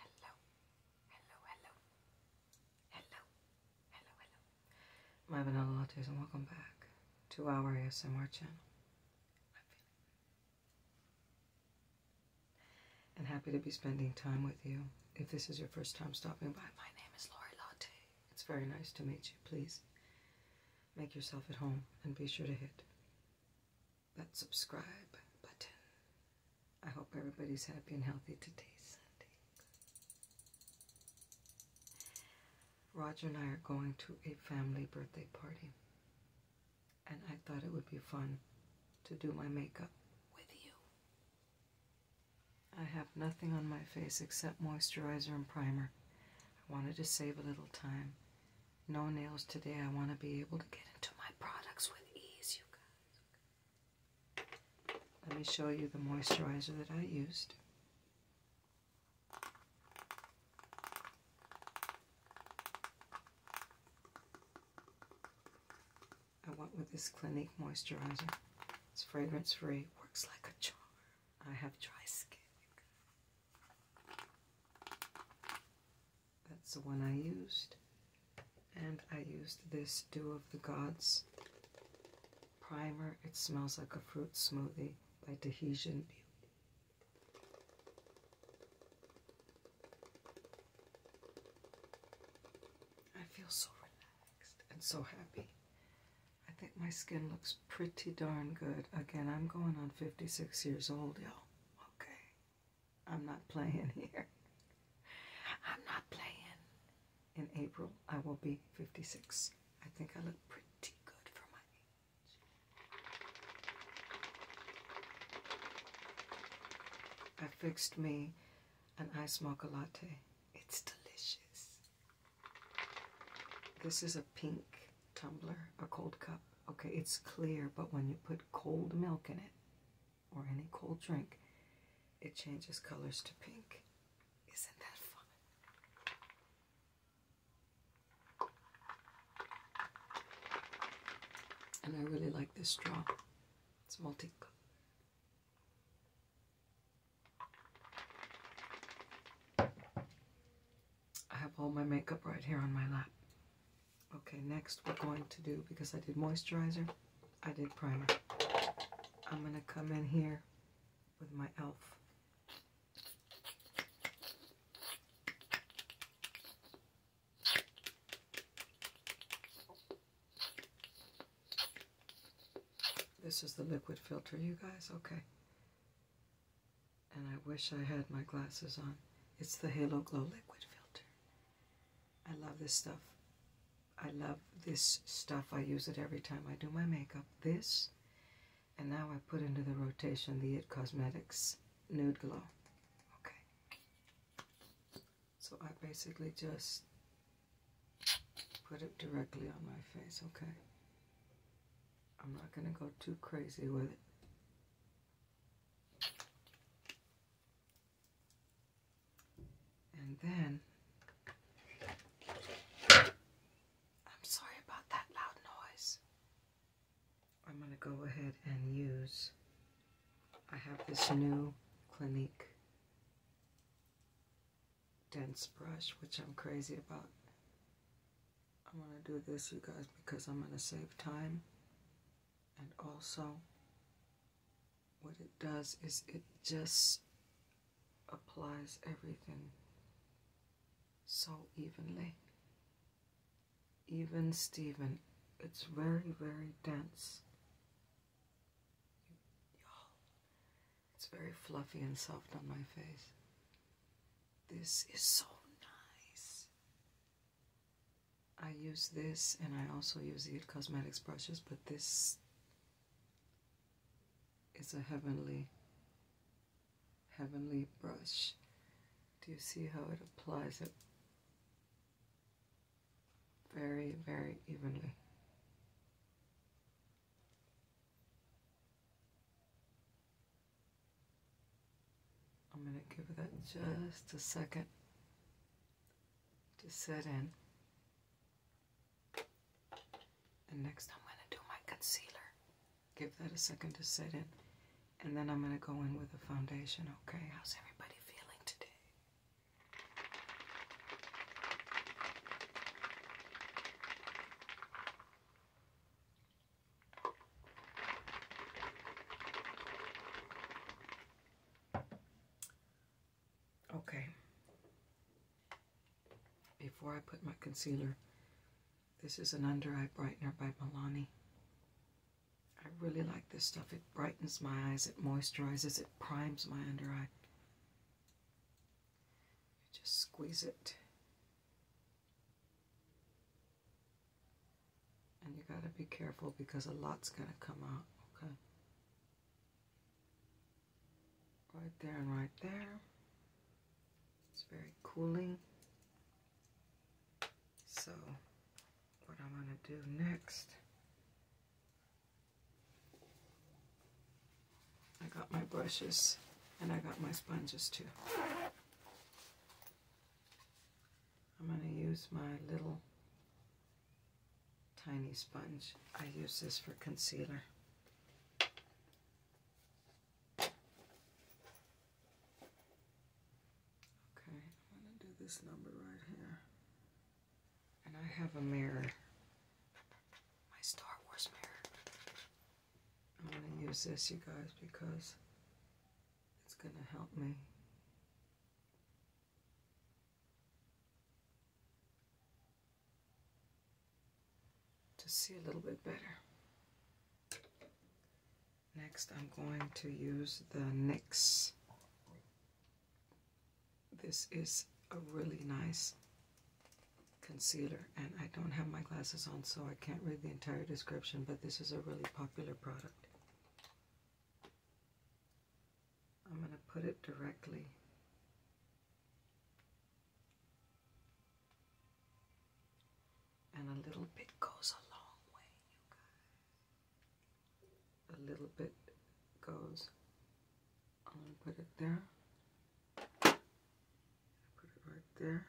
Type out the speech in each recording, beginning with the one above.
Hello. Hello, hello. Hello. Hello, hello. My vanilla lattes and welcome back to our ASMR channel. and happy to be spending time with you. If this is your first time stopping by, my name is Lori Latte. It's very nice to meet you. Please Make yourself at home and be sure to hit that subscribe button. I hope everybody's happy and healthy today, Sunday. Roger and I are going to a family birthday party, and I thought it would be fun to do my makeup with you. I have nothing on my face except moisturizer and primer. I wanted to save a little time. No nails today. I want to be able to get into my products with ease, you guys. Let me show you the moisturizer that I used. I went with this Clinique moisturizer. It's fragrance free, works like a charm. I have dry skin. That's the one I used. And I used this Dew of the Gods primer. It smells like a fruit smoothie by Tahitian Beauty. I feel so relaxed and so happy I think my skin looks pretty darn good. Again, I'm going on 56 years old, y'all. Okay. I'm not playing here. I'm not playing. In April, I will be 56. I think I look pretty good for my age. I fixed me an ice mocha latte. It's delicious. This is a pink tumbler, a cold cup. Okay, it's clear, but when you put cold milk in it or any cold drink, it changes colors to pink. Isn't that fun? And I really like this straw. It's multicolored. I have all my makeup right here on my lap. Okay, next we're going to do, because I did moisturizer, I did primer. I'm going to come in here with my e.l.f. This is the liquid filter, you guys? Okay and I wish I had my glasses on. It's the Halo Glow Liquid Filter. I love this stuff. I love this stuff. I use it every time I do my makeup. This, and now I put into the rotation the It Cosmetics Nude Glow. Okay. So I basically just put it directly on my face, okay? I'm not going to go too crazy with it. And then, I'm sorry about that loud noise. I'm going to go ahead and use, I have this new Clinique dense brush, which I'm crazy about. I'm going to do this, you guys, because I'm going to save time. And also, what it does is it just applies everything so evenly. Even Steven, it's very, very dense. Y'all, it's very fluffy and soft on my face. This is so nice. I use this and I also use the Cosmetics brushes, but this is a heavenly, heavenly brush. Do you see how it applies it very, very evenly? I'm going to give that just a second to set in. And next I'm going to do my concealer. Give that a second to set in. And then I'm going to go in with the foundation, okay? How's everybody feeling today? Okay. Before I put my concealer, this is an under eye brightener by Milani. I really like this stuff. It brightens my eyes, it moisturizes, it primes my under eye. Just squeeze it. And you gotta be careful because a lot's gonna come out, okay? Right there and right there. It's very cooling. So, what I'm gonna do next I got my brushes and I got my sponges too. I'm going to use my little tiny sponge. I use this for concealer. Okay, I'm going to do this number right here. And I have a mirror. My Star Wars mirror. I'm going to use this, you guys, because it's going to help me. to see a little bit better. Next, I'm going to use the NYX. This is a really nice concealer and I don't have my glasses on so I can't read the entire description but this is a really popular product. I'm going to put it directly and a little bit goes a long way you guys. A little bit goes. I'm going to put it there Put it right there.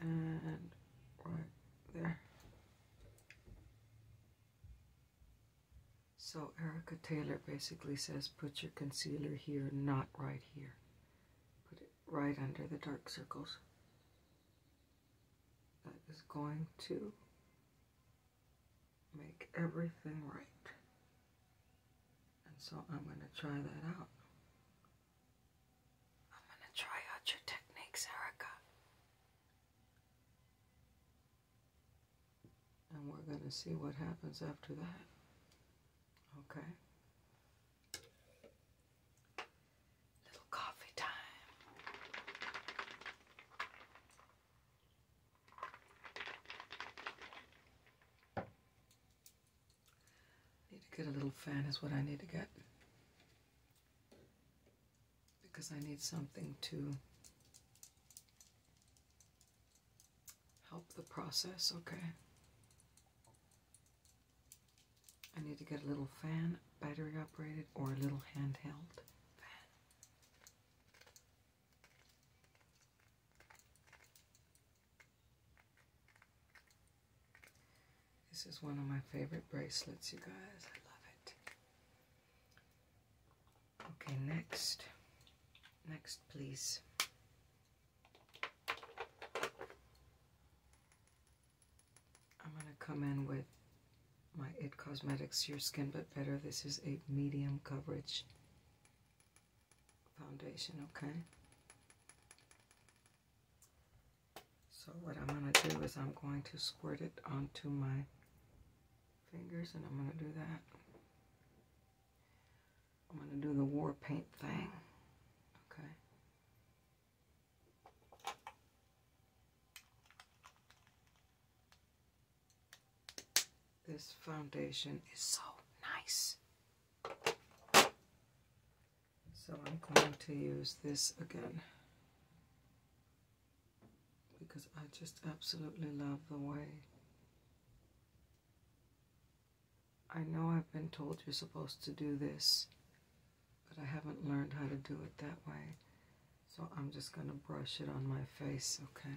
And right there. So Erica Taylor basically says put your concealer here, not right here. Put it right under the dark circles. That is going to make everything right. And so I'm going to try that out. I'm going to try out your techniques, Erica. And we're going to see what happens after that. Okay? Little coffee time. Need to get a little fan is what I need to get. Because I need something to help the process, okay. I need to get a little fan, battery operated, or a little handheld fan. This is one of my favorite bracelets, you guys. I love it. Okay, next. Next, please. I'm going to come in with my It Cosmetics Your Skin But Better. This is a medium coverage foundation, okay? So what I'm going to do is I'm going to squirt it onto my fingers and I'm going to do that. I'm going to do the war paint thing. Okay. This foundation is so nice. So I'm going to use this again because I just absolutely love the way. I know I've been told you're supposed to do this, but I haven't learned how to do it that way. So I'm just going to brush it on my face, okay?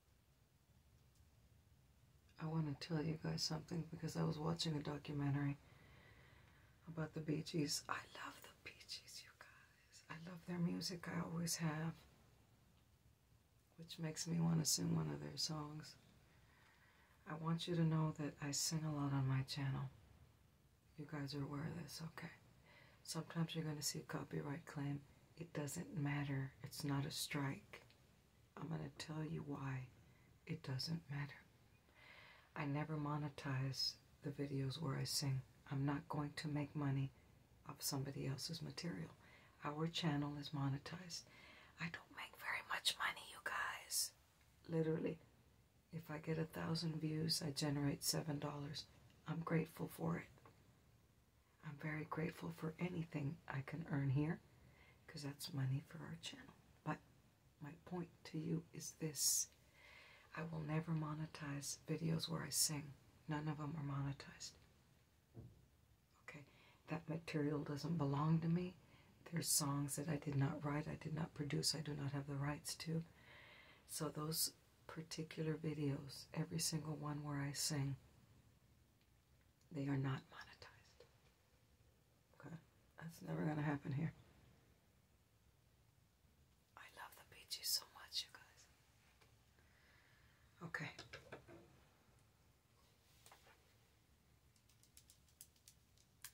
I want to tell you guys something because I was watching a documentary about the Bee Gees. I love the Bee Gees, you guys. I love their music. I always have. Which makes me want to sing one of their songs. I want you to know that I sing a lot on my channel. You guys are aware of this, okay? Sometimes you're going to see a copyright claim. It doesn't matter. It's not a strike. I'm going to tell you why it doesn't matter. I never monetize the videos where I sing. I'm not going to make money off somebody else's material. Our channel is monetized. I don't make very much money, you guys. Literally, if I get a thousand views, I generate seven dollars. I'm grateful for it. I'm very grateful for anything I can earn here because that's money for our channel. But my point to you is this I will never monetize videos where I sing, none of them are monetized. Okay, that material doesn't belong to me. There's songs that I did not write, I did not produce, I do not have the rights to. So those particular videos, every single one where I sing, they are not monetized. Okay? That's never going to happen here. I love the beaches so much, you guys. Okay.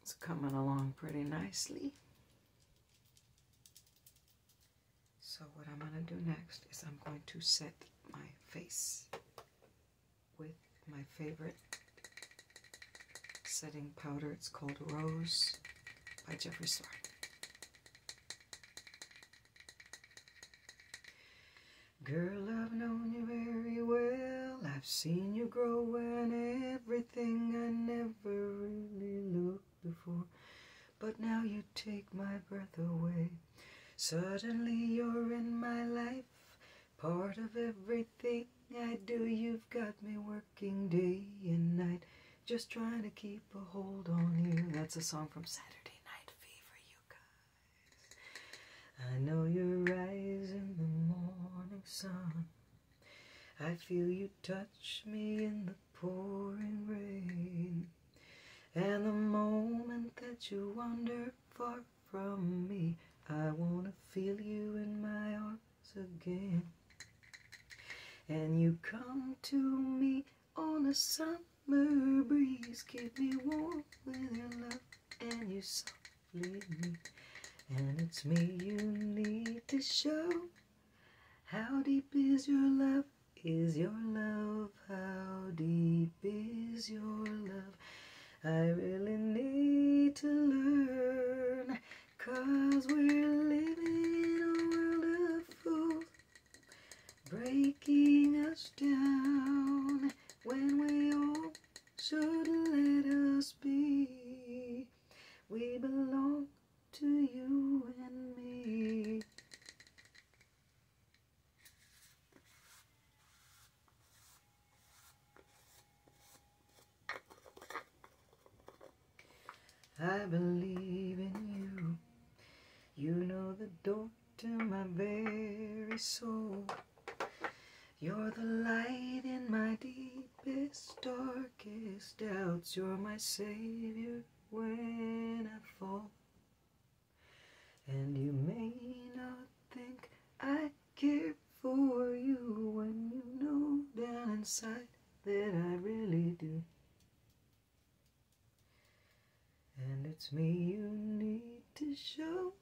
It's coming along pretty nicely. So what I'm going to do next is I'm going to set my face with my favorite setting powder. It's called Rose by Jeffree Star. Girl, I've known you very well. I've seen you grow and everything I never really looked before. But now you take my breath away. Suddenly you're in my life, part of everything I do. You've got me working day and night, just trying to keep a hold on you. That's a song from Saturday Night Fever, you guys. I know you rise in the morning sun. I feel you touch me in the pouring rain. And the moment that you wander far from me, I want to feel you in my arms again. And you come to me on a summer breeze, keep me warm with your love, and you softly me. And it's me you need to show. How deep is your love? Is your love how deep is your love? I really need to learn, cause we're living in a world of fools, breaking us down when we all should let us be. We belong to you and me. I believe in you. You know the door to my very soul. You're the light in my deepest, darkest doubts. You're my savior when I fall. And you may not think I care for you when you know down inside that I really do. And it's me you need to show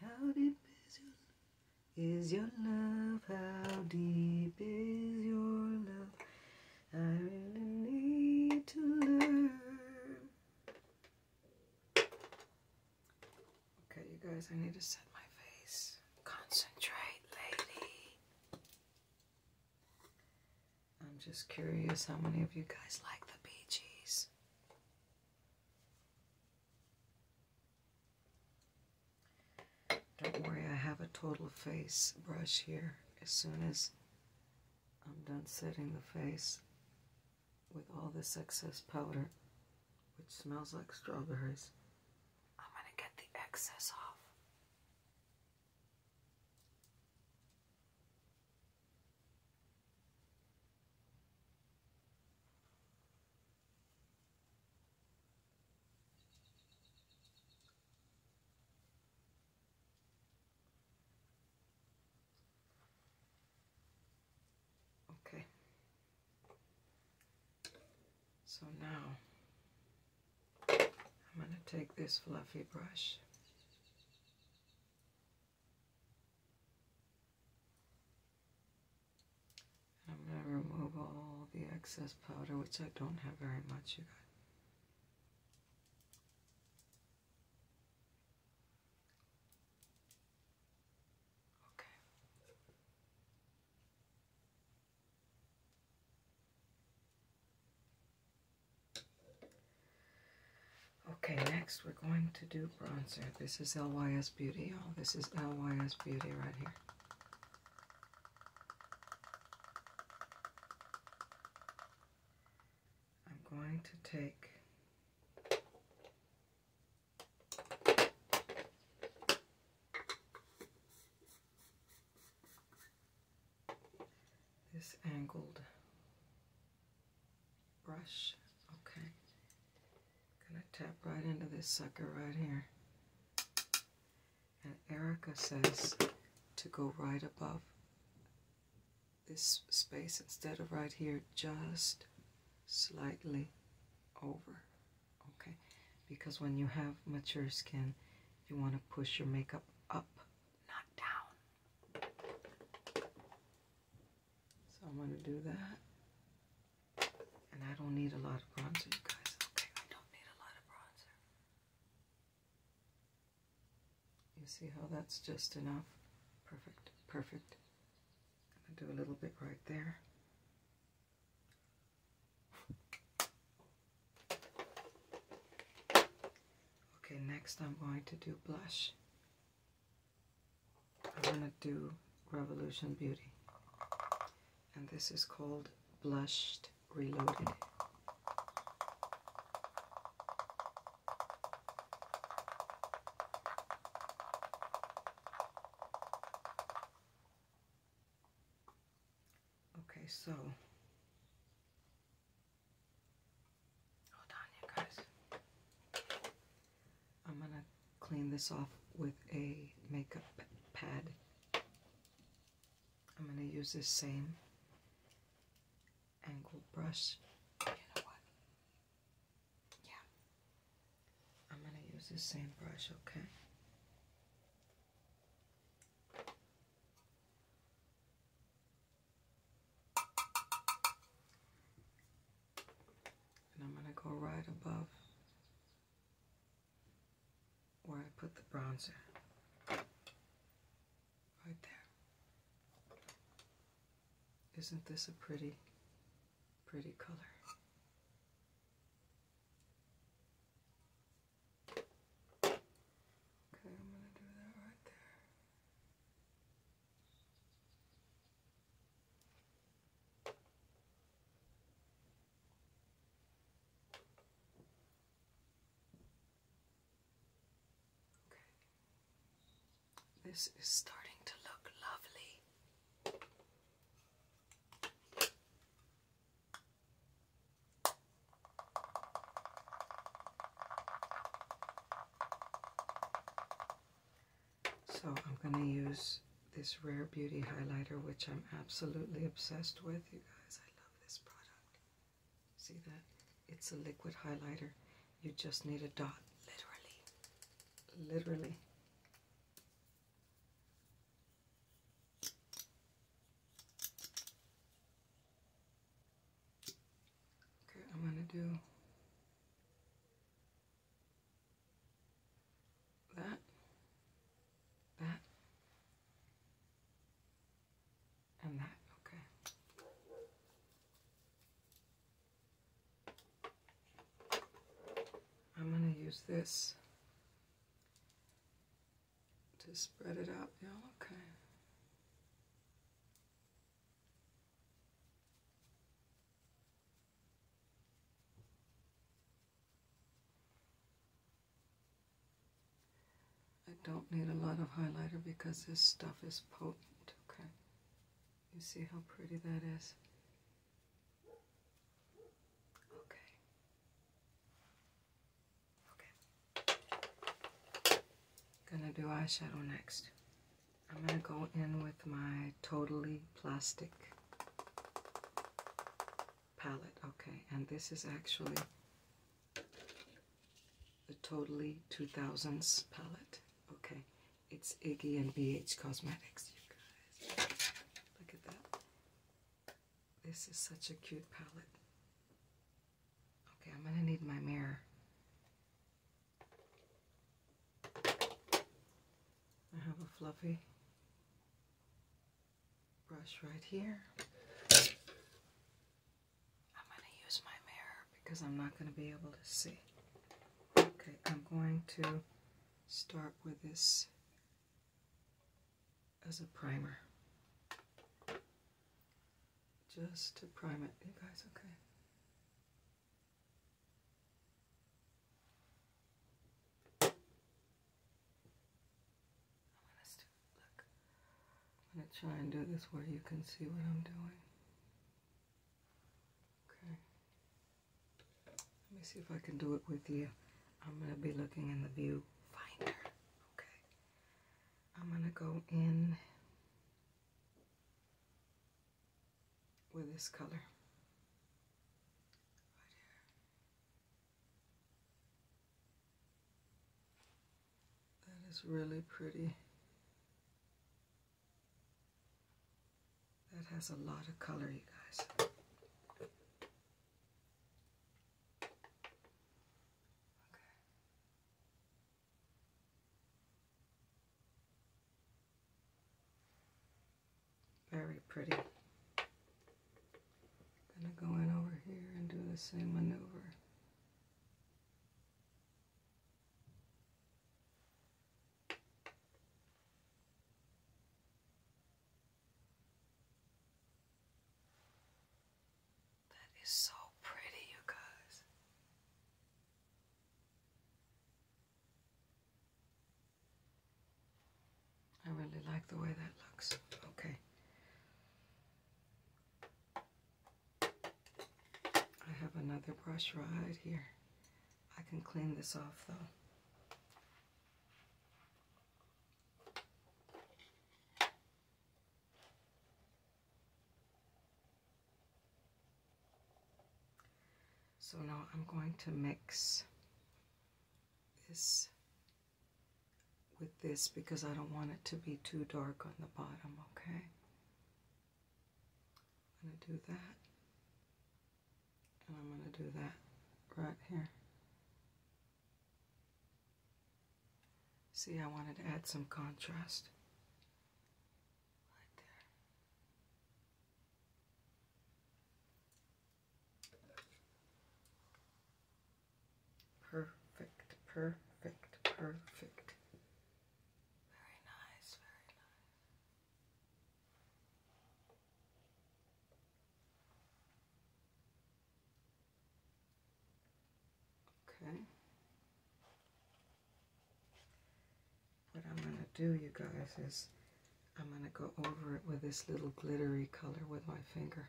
how deep is your, love, how deep is your love. I really need to learn. Okay, you guys, I need to set my face. Concentrate, lady. I'm just curious how many of you guys like the Bee Don't worry, I have a total face brush here as soon as I'm done setting the face with all this excess powder, which smells like strawberries. I'm going to get the excess off. Okay. So now I'm going to take this fluffy brush and I'm going to remove all the excess powder, which I don't have very much, you guys. Okay. Okay, next we're going to do bronzer. This is LYS Beauty, Oh, this is LYS Beauty right here. I'm going to take this angled brush. Okay. Gonna tap right into this sucker right here. And Erica says to go right above this space instead of right here just slightly over okay because when you have mature skin you want to push your makeup up not down so I'm going to do that and I don't need a lot of bronzer you guys okay I don't need a lot of bronzer you see how that's just enough? Perfect, perfect. I'm going to do a little bit right there. Okay, next I'm going to do blush. I'm going to do Revolution Beauty. And this is called Blushed Reloaded. Okay, so hold on, guys. I'm gonna clean this off with a makeup pad. I'm going to use the same angled brush. Yeah. I'm going to use the same brush, okay? And I'm going to go right above where I put the bronzer. Right there. Isn't this a pretty, pretty color? Okay, I'm going to do that right there. Okay. This is starting to look lovely. So I'm going to use this Rare Beauty highlighter, which I'm absolutely obsessed with. You guys, I love this product. See that? It's a liquid highlighter. You just need a dot, literally. Literally. Okay, I'm going to do that, that, and that, okay. I'm going to use this to spread it out. Yeah, okay. I don't need a lot of highlighter because this stuff is potent, okay? You see how pretty that is? Okay. Okay. Gonna do eyeshadow next. I'm gonna go in with my Totally Plastic palette, okay? And this is actually a Totally 2000s palette. Okay, it's Iggy and BH Cosmetics, you guys. Look at that. This is such a cute palette. Okay, I'm going to need my mirror. I have a fluffy brush right here. I'm going to use my mirror because I'm not going to be able to see. Okay, I'm going to start with this as a primer. Just to prime it. You guys okay? Look, I'm going to try and do this where you can see what I'm doing. Okay. Let me see if I can do it with you. I'm going to be looking in the viewfinder. Okay. I'm going to go in with this color. Right here. That is really pretty. That has a lot of color, you guys. very pretty. Gonna go in over here and do the same maneuver. That is so pretty, you guys. I really like the way that looks. Okay. I have another brush right here. I can clean this off though. So now I'm going to mix this with this because I don't want it to be too dark on the bottom, okay? I'm going to do that. And I'm going to do that right here. See, I wanted to add some contrast. Right there. Perfect, perfect, perfect. Very nice, very nice. Okay. What I'm going to do, you guys, is I'm going to go over it with this little glittery color with my finger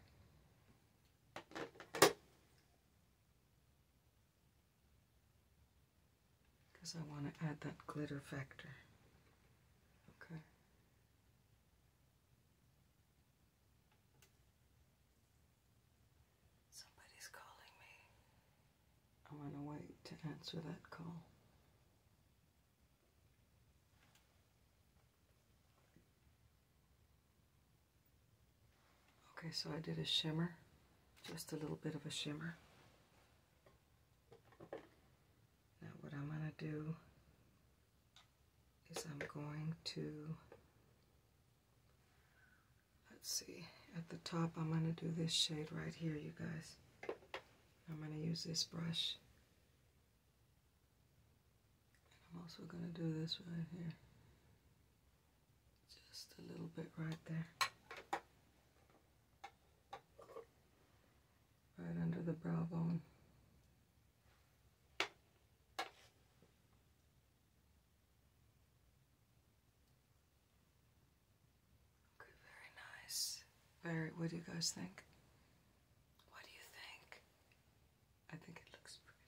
because I want to add that glitter factor. Okay. Somebody's calling me. I want to wait to answer that call. Okay, so I did a shimmer, just a little bit of a shimmer. Now what I'm going to do is I'm going to, let's see, at the top I'm going to do this shade right here, you guys. I'm going to use this brush. I'm also going to do this right here just a little bit right there. Right under the brow bone. Okay, very nice. Very, what do you guys think? What do you think? I think it looks pretty.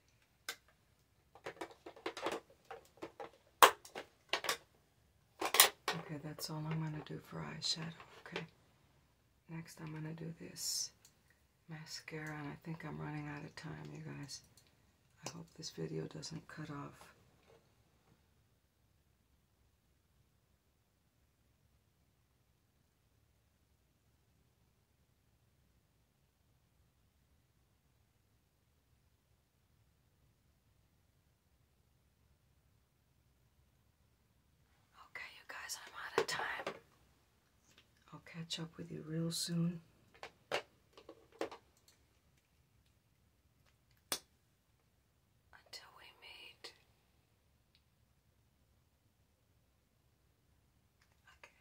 Okay, that's all I'm going to do for eyeshadow, okay? Next, I'm going to do this mascara, and I think I'm running out of time, you guys. I hope this video doesn't cut off. Okay, you guys, I'm out of time. I'll catch up with you real soon. Until we meet Okay.